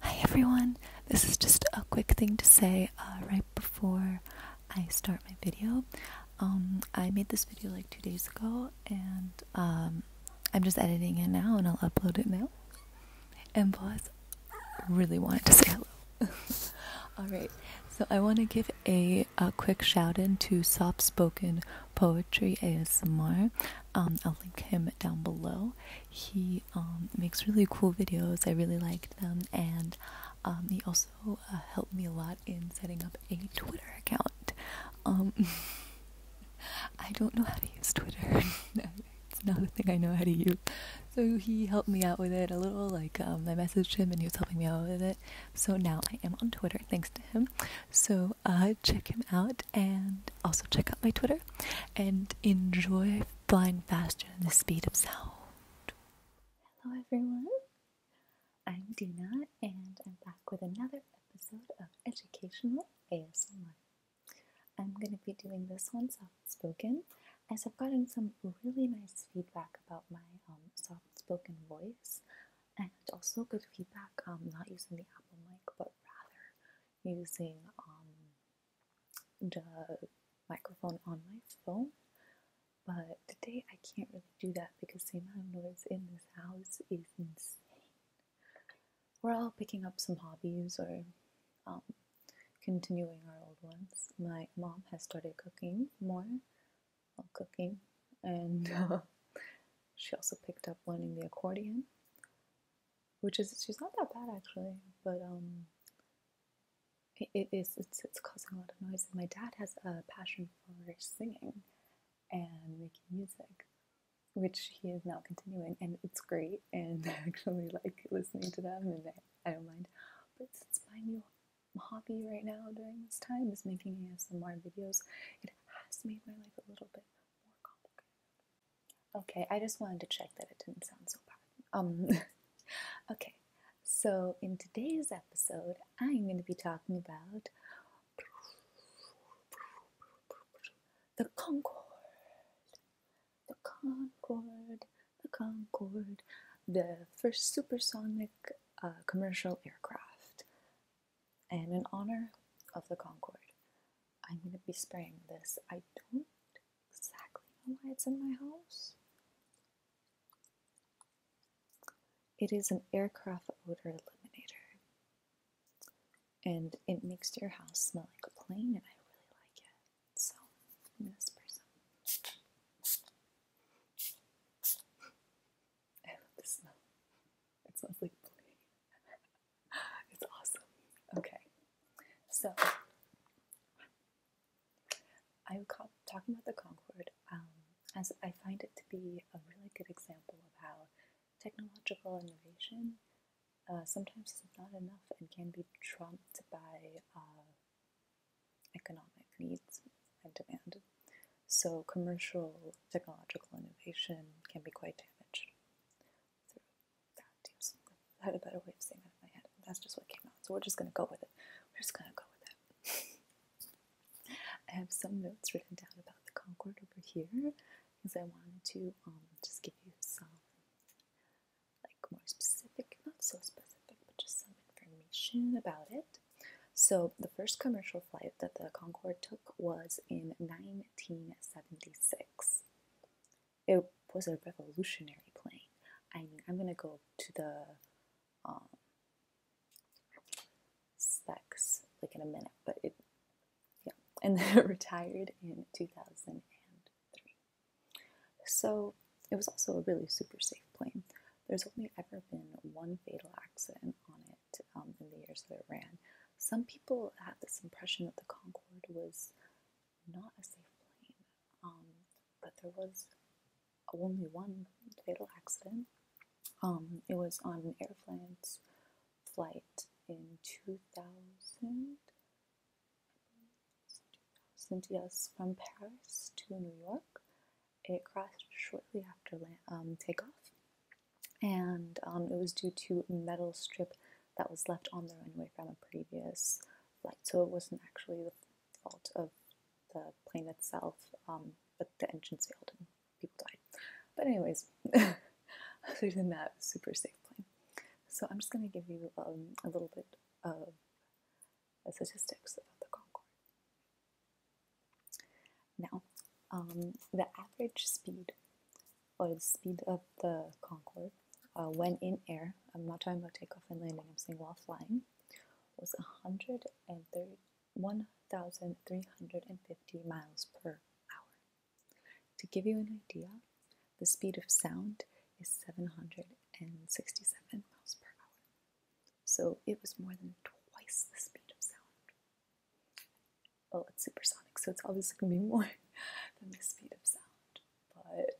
Hi everyone! This is just a quick thing to say uh, right before I start my video. Um, I made this video like two days ago and um, I'm just editing it now and I'll upload it now. And plus, really wanted to say hello. Alright, so I want to give a, quick shout in to Soft Spoken Poetry ASMR. Um, I'll link him down below. He um, makes really cool videos. I really like them, and um, he also uh, helped me a lot in setting up a Twitter account. Um, I don't know how to use Twitter. it's not a thing I know how to use. So he helped me out with it a little. Like I messaged him, and he was helping me out with it. So now I am on Twitter thanks to him. So uh, check him out, and also check out my Twitter and enjoy flying faster than the speed of sound. Hello, everyone. I'm Dina, and I'm back with another episode of Educational ASMR. I'm going to be doing this one soft spoken as I've gotten some really nice feedback about my um, soft spoken voice and also good feedback um, not using the Apple mic but rather using um, the microphone on my phone. But today I can't really do that because the amount noise in this house is insane. We're all picking up some hobbies or um, continuing our old ones. My mom has started cooking more, well, cooking, and she also picked up learning the accordion which is she's not that bad actually, but um, it, it is it's it's causing a lot of noise. And my dad has a passion for singing and making music, which he is now continuing, and it's great. And I actually like listening to them, and I don't mind. But since my new hobby right now during this time is making ASMR videos, it has made my life a little bit more complicated. Okay, I just wanted to check that it didn't sound so bad. Um, okay, so in today's episode, I'm going to be talking about the Concorde. The Concorde, the Concorde, the first supersonic uh, commercial aircraft, and in honor of the Concorde. I'm gonna be spraying this. I don't exactly know why it's in my house. It is an aircraft odor eliminator, and it makes your house smell like a plane, and I really like it. So I'm gonna spray some. I love the smell. It smells like plane it's awesome. Okay, so I'm talking about the Concorde um, as I find it to be a really good example of how technological innovation uh, sometimes is not enough and can be trumped by uh, economic needs and demand. So, commercial technological innovation can be quite damaged. I had a better way of saying that in my head. That's just what came out. So we're just gonna go with it. We're just gonna go with it. I have some notes written down about the Concorde over here, because I wanted to um just give you some like more specific, not so specific, but just some information about it. So the first commercial flight that the Concorde took was in 1976. It was a revolutionary plane. I mean, I'm gonna go to the um, specs like in a minute, but it, yeah, and then retired in 2003. So it was also a really super safe plane. There's only ever been one fatal accident on it in um, the years that it ran. Some people had this impression that the Concorde was not a safe plane, um, but there was only one fatal accident. Um, it was on an Air France flight in 2000, 2000 yes, from Paris to New York. It crashed shortly after takeoff, and um, it was due to metal strip that was left on the runway from a previous flight. So it wasn't actually the fault of the plane itself, um, but the engines failed and people died. But anyways, other than that, super safe plane. So I'm just going to give you um, a little bit of statistics about the Concorde. Now, um, the average speed or the speed of the Concorde uh, when in air, I'm not talking about takeoff and landing, I'm saying while flying, was 1,350 miles per hour. To give you an idea, the speed of sound is 767 miles per hour. So it was more than twice the speed of sound. Oh, it's supersonic, so it's obviously going to be more than the speed of sound,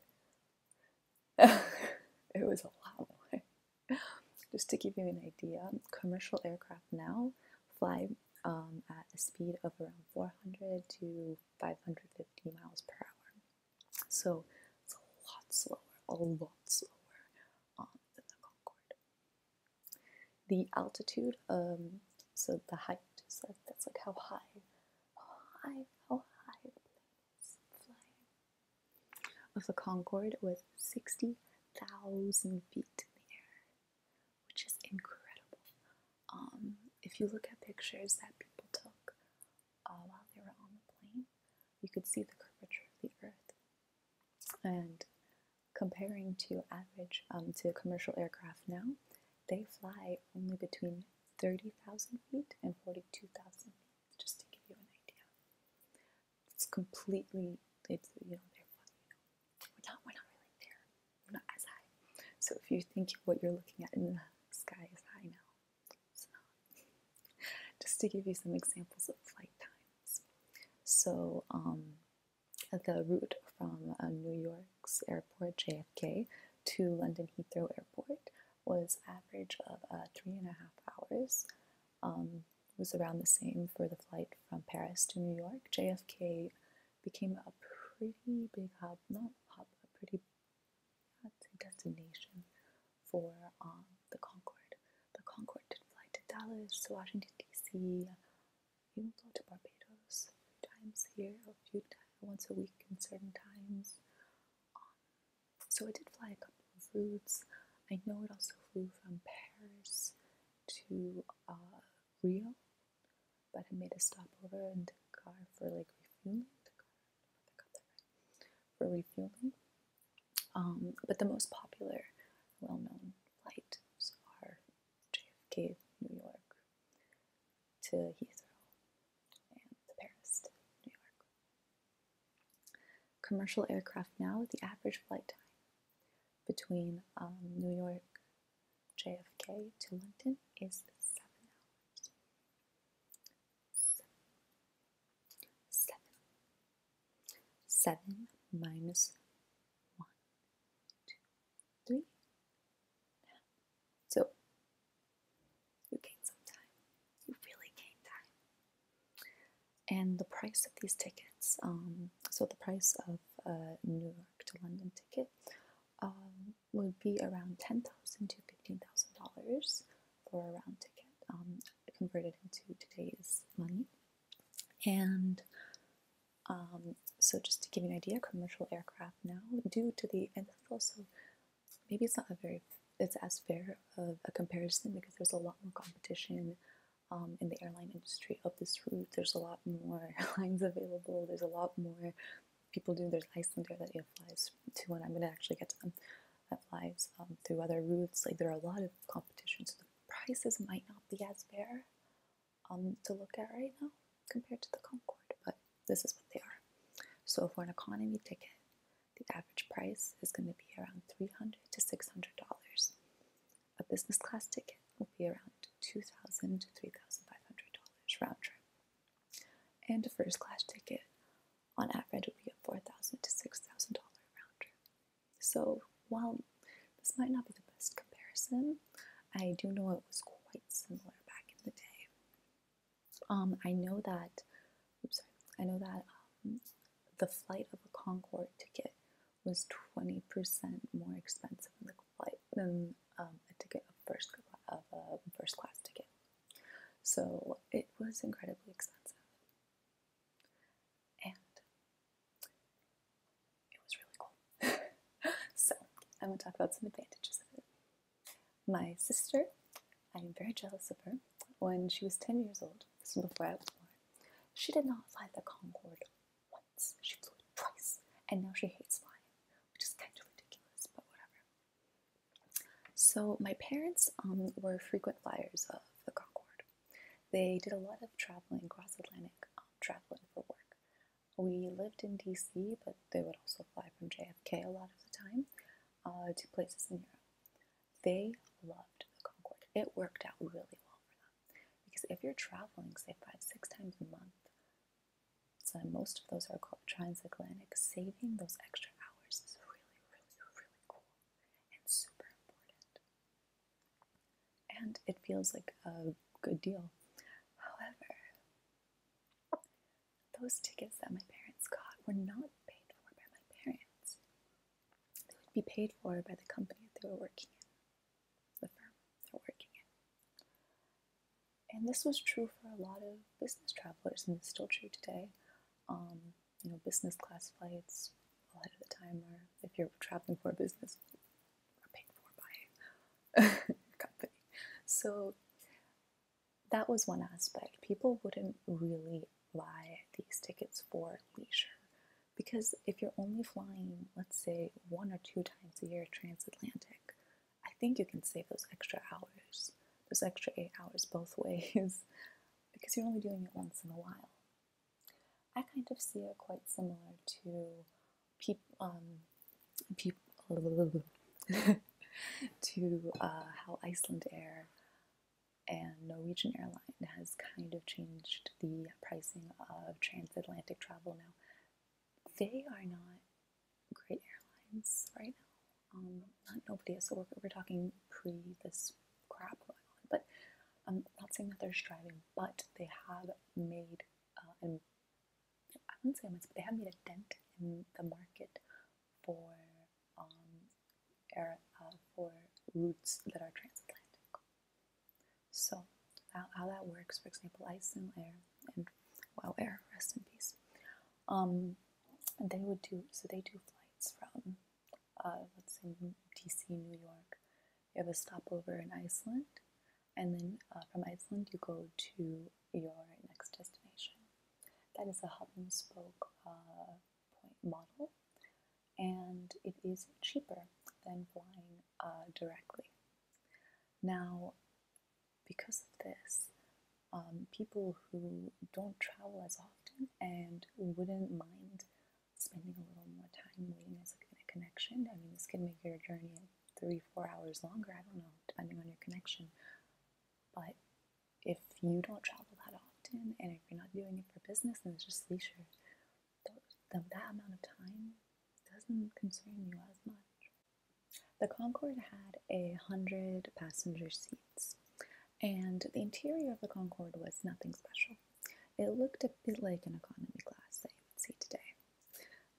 but it was a lot more. Just to give you an idea, commercial aircraft now fly um, at a speed of around 400 to 550 miles per hour. So it's a lot slower, a lot slower um, than the Concorde the altitude, um, so the height, so that's like how high, how high, how high the plane is flying, of the Concorde was 60,000 feet in the air, which is incredible. Um, if you look at pictures that people took uh, while they were on the plane, you could see the curvature of the earth. And comparing to average um, to commercial aircraft now, they fly only between 30,000 feet and 42,000 feet, just to give you an idea. It's completely, it's, you know, they're, not, we're not really there. We're not as high. So if you think what you're looking at in the sky is high now, Just to give you some examples of flight times. So, um, the route from um, New York's airport, JFK, to London Heathrow Airport was average of uh, three and a half hours. Um, it was around the same for the flight from Paris to New York. JFK became a pretty big hub, not hub, a pretty destination for um, the Concorde. The Concorde did fly to Dallas, Washington D.C., he go to Barbados a few times here, a few times, once a week in certain times. so I did fly a couple of routes. I know it also flew from Paris to uh, Rio, but I made a stopover in Dakar for like refueling. for refueling. Um, but the most popular, well known flight, so JFK, New York, to Heathrow, and Paris New York. Commercial aircraft now, the average flight time between um, New York JFK to London is seven hours. seven. Seven minus one, two, three. So you gain some time. You really gain time. And the price of these tickets, um, so the price of a New York to London ticket um, would be around ten thousand to fifteen thousand dollars for around ticket, um, converted into today's money. And um, so, just to give you an idea, commercial aircraft now, due to the and also maybe it's not a very it's as fair of a comparison because there's a lot more competition um, in the airline industry of this route. There's a lot more airlines available. There's a lot more people do. There's Icelander that you know, flies to, and I'm gonna actually get to them. That flies um, through other routes. Like there are a lot of competitions prices might not be as fair um, to look at right now compared to the Concord, but this is what they are. So for an economy ticket, the average price is going to be around $300 to $600. A business class ticket will be around $2,000 to $3,500 round trip. And a first class ticket on average will be a $4,000 to $6,000 round trip. So while this might not be the best comparison, I do know it was quite similar back in the day. Um, I know that, oops, I know that um, the flight of a Concorde ticket was 20% more expensive than the flight than um, a ticket of first of a first class ticket. So it was incredibly expensive and it was really cool. so, I'm going to talk about some advantages of it. My sister, I am very jealous of her. When she was 10 years old, this is before I was born, she did not fly the Concorde once. She flew it twice, and now she hates flying, which is kind of ridiculous, but whatever. So, my parents um, were frequent flyers of the Concorde. They did a lot of traveling cross Atlantic, um, traveling for work. We lived in DC, but they would also fly from JFK a lot of the time uh, to places in Europe. They loved the Concorde. It worked out really well for them because if you're traveling, say five, six times a month, so most of those are transatlantic, saving those extra hours is really, really, really cool and super important and it feels like a good deal. However, those tickets that my parents got were not paid for by my parents. They would be paid for by the company that they were working in, the firm they were working in. And this was true for a lot of business travelers, and it's still true today. Um, you know, business class flights ahead of the time, or if you're traveling for business, are paid for by your company. So that was one aspect. People wouldn't really buy these tickets for leisure because if you're only flying, let's say, one or two times a year transatlantic, I think you can save those extra hours, those extra eight hours both ways, because you're only doing it once in a while. I kind of see it quite similar to peop um, peop to uh, how Iceland Air and Norwegian Airline has kind of changed the pricing of transatlantic travel now. They are not great airlines right now. Um, not nobody is. So we we're talking pre this crap But I'm um, not saying that they're striving, but they have made uh, and I wouldn't say much, but they have made a dent in the market for um, air, uh, for routes that are transatlantic. So how, that works, for example, Iceland Air and Wow Air, rest in peace. Um, they would do so. They do flights from uh, let's say DC, New York, you have a stopover in Iceland, and then uh, from Iceland you go to your next destination. That is a hub and spoke uh, point model, and it is cheaper than flying uh, directly. Now, because of this, um, people who don't travel as often and wouldn't mind spending a little more time waiting as a connection. I mean, this can make your journey three, four hours longer. I don't know, depending on your connection. But if you don't travel that often, and if you're not doing it for business and it's just leisure, that amount of time doesn't concern you as much. The Concorde had a hundred passenger seats and the interior of the Concorde was nothing special. It looked a bit like an economy class I would see today.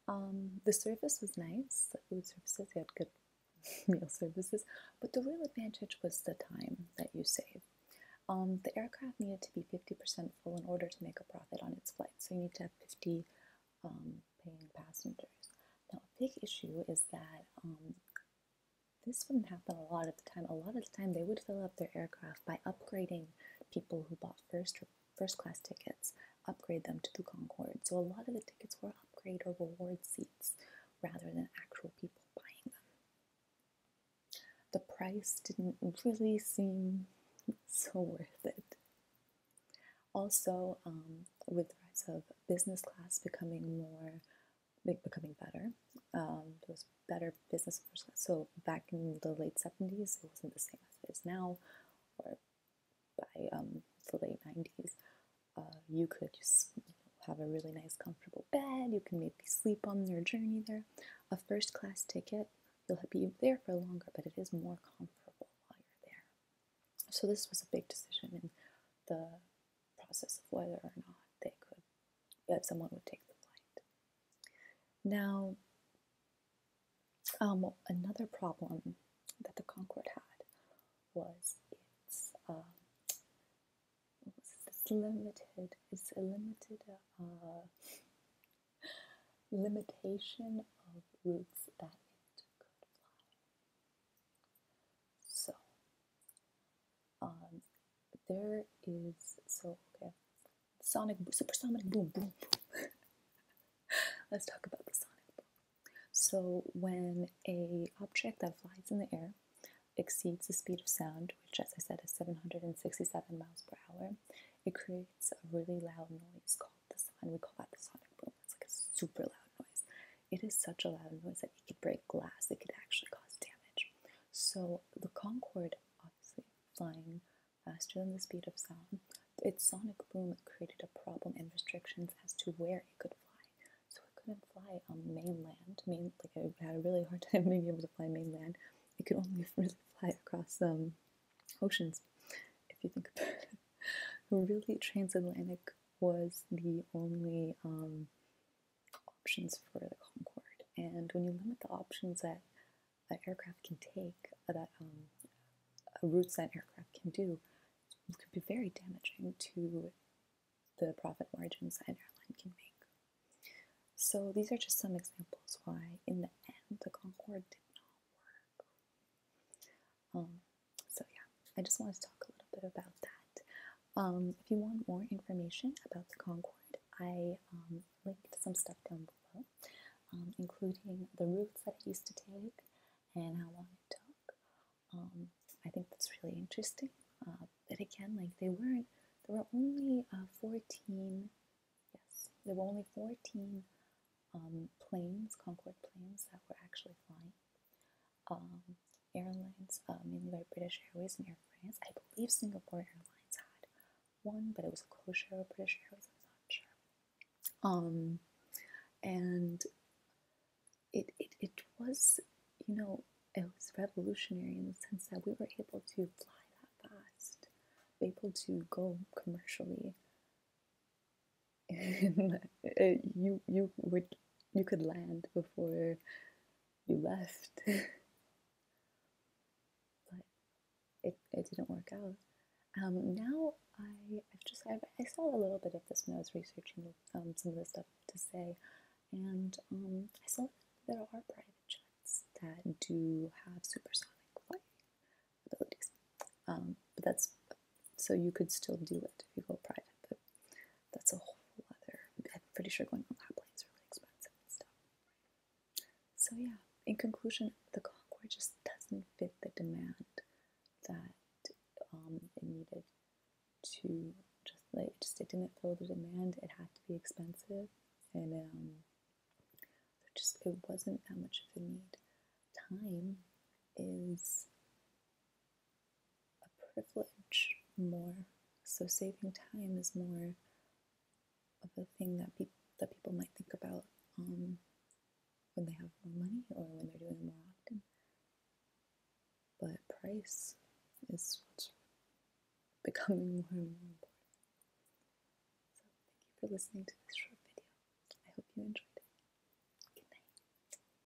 Um, the service was nice, the food services, you had good meal services, but the real advantage was the time that you save. Um, the aircraft needed to be 50% full in order to make a profit on its flight, so you need to have 50 um, paying passengers. Now, a big issue is that this wouldn't happen a lot of the time. A lot of the time, they would fill up their aircraft by upgrading people who bought first first class tickets, upgrade them to the Concorde. So a lot of the tickets were upgrade or reward seats rather than actual people buying them. The price didn't really seem so worth it. Also, um, with the rise of business class becoming more becoming better. Um, was better business. So back in the late 70s, it wasn't the same as it is now, or by um, the late 90s, uh, you could just have a really nice, comfortable bed. You can maybe sleep on your journey there. A first class ticket, you'll be there for longer, but it is more comfortable while you're there. So this was a big decision in the process of whether or not they could, that someone would take the flight. Now, um, another problem that the Concorde had was its, um, it's limited, it's a limited uh, limitation of routes that it could fly. So, um, there is so okay. Sonic supersonic boom boom. boom. Let's talk about the sonic boom. So when a object that flies in the air exceeds the speed of sound, which as I said is 767 miles per hour, it creates a really loud noise called the and we call that the sonic boom. It's like a super loud noise. It is such a loud noise that it could break glass. It could actually cause damage. So the Concorde, obviously flying faster than the speed of sound, its sonic boom created a problem and restrictions as to where it could fly. So it couldn't fly on mainland. Main, like it had a really hard time being able to fly mainland. It could only really fly across um, oceans, if you think about it. really, transatlantic was the only um, options for the Concorde. And when you limit the options that an aircraft can take, uh, that um, uh, routes that aircraft can do, could be very damaging to the profit margins that an airline can make. So these are just some examples why, in the end, the Concorde did not work. Um, so yeah, I just wanted to talk a little bit about that. Um, if you want more information about the Concorde, I um, linked some stuff down below, um, including the routes that it used to take and how long it took. Um, I think that's really interesting. Uh, but again, like they weren't, there were only uh, 14, yes, there were only 14 um, planes, Concorde planes, that were actually flying um, airlines, uh, um, mainly by British Airways and Air France. I believe Singapore Airlines had one, but it was a closure of British Airways, I'm not sure. Um, and it, it, it was, you know, it was revolutionary in the sense that we were able to fly that fast, we able to go commercially. you you would you could land before you left. but it, it didn't work out. Um, now I, I've just i saw a little bit of this when I was researching um, some of the stuff to say, and um, I saw there are private jets that do have supersonic flight abilities. Um, but that's so you could still do it if you go private. That's a whole other. I'm pretty sure going on that plane is really expensive and stuff. So yeah, in conclusion, the Concorde just doesn't fit the demand that um, it needed to just like just it didn't fill the demand. It had to be expensive, and um, just it wasn't that much of a need. Time is a privilege more. So saving time is more of a thing that people that people might think about um, when they have more money or when they're doing it more often. But price is what's becoming more and more important. So thank you for listening to this short video. I hope you enjoyed it. Good night.